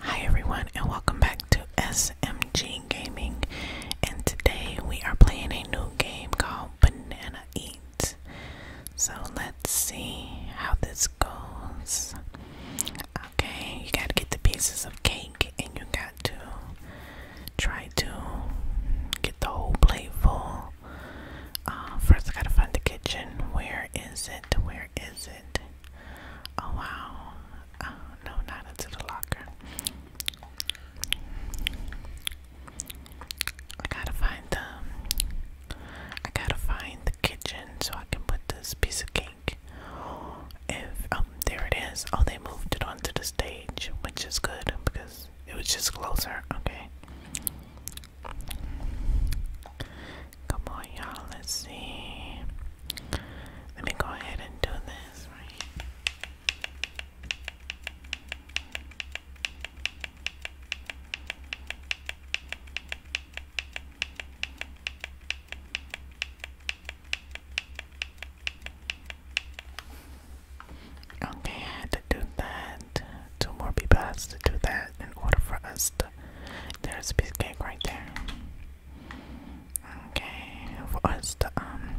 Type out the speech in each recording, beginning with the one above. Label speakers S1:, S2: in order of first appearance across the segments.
S1: Hi everyone and welcome back to SMG Gaming and today we are playing a new game called Banana Eat. So let's see how this goes. Okay, you gotta get the pieces of cake and you got to try to get the whole plate full. Uh, first I gotta find the kitchen. Where is it? Where is it? Oh wow. Oh no, not into the locker. I gotta find the I gotta find the kitchen so I can put this piece of cake. If um there it is. Oh they moved it onto the stage, which is good because it was just closer, okay. Come on, y'all. Let's see. Let me go ahead and do this, Okay, to do that. Two more people has to do that in order for us to. There's a piece of cake right there. Okay, for us to um,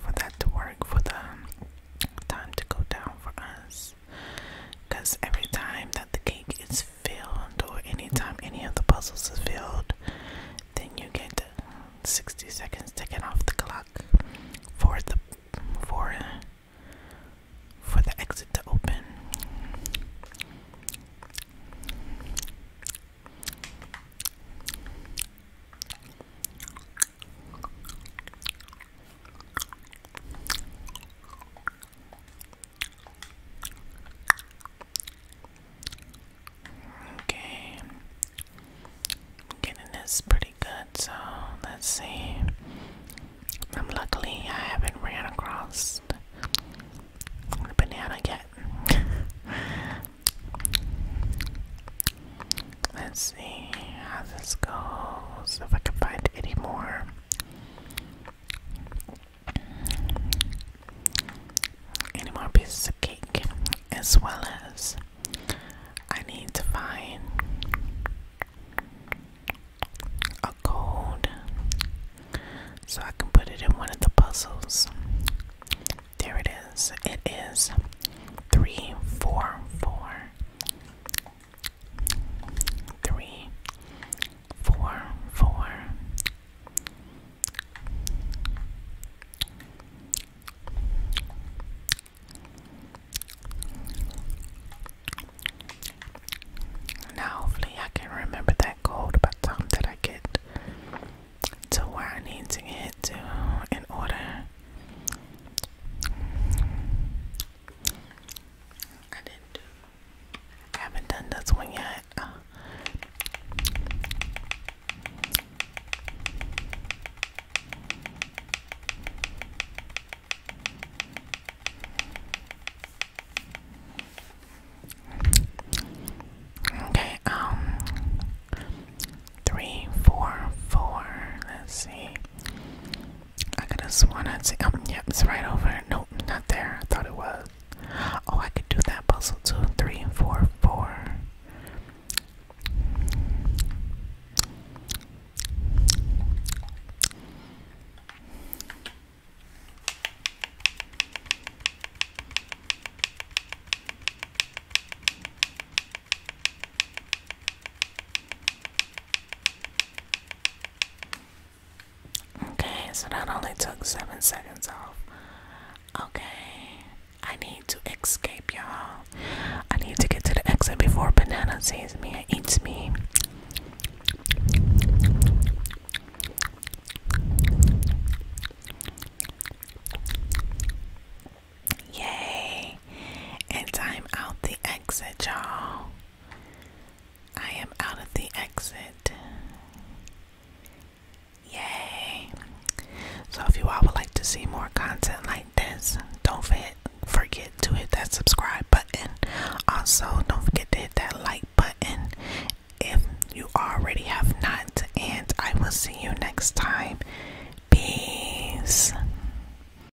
S1: for that to work, for the um, time to go down for us, because every time that the cake is filled, or anytime any of the puzzles is filled, then you get 60 seconds taken off the clock for the for for the exit to open. Okay, getting this pretty good, so let's see. Um, luckily, I haven't ran across the banana yet. let's see how this goes, if I can find any more. Any more pieces of cake? as well as I need to find a code so I can put it in one of the puzzles. There it is. It is 344. Now, hopefully, I can remember that code by the time that I get to where I need to get to in order. I didn't do I haven't done this one yet. Okay, um, three, four, four. Let's see. I could have sworn I'd see. Um, yep, it's right over. Nope, not there. I thought it was. Oh, I could do that puzzle too. Three, four, four. Okay, so that only took seven seconds off. Okay, I need to escape, y'all. I need to get to the exit before Banana sees me and eats me. Yay! And time out the exit, y'all. I am out of the exit. Yay! So, if you all would like to see more content like this, don't forget to hit that subscribe button. Also, don't forget to hit that like button if you already have not. And I will see you next time. Peace.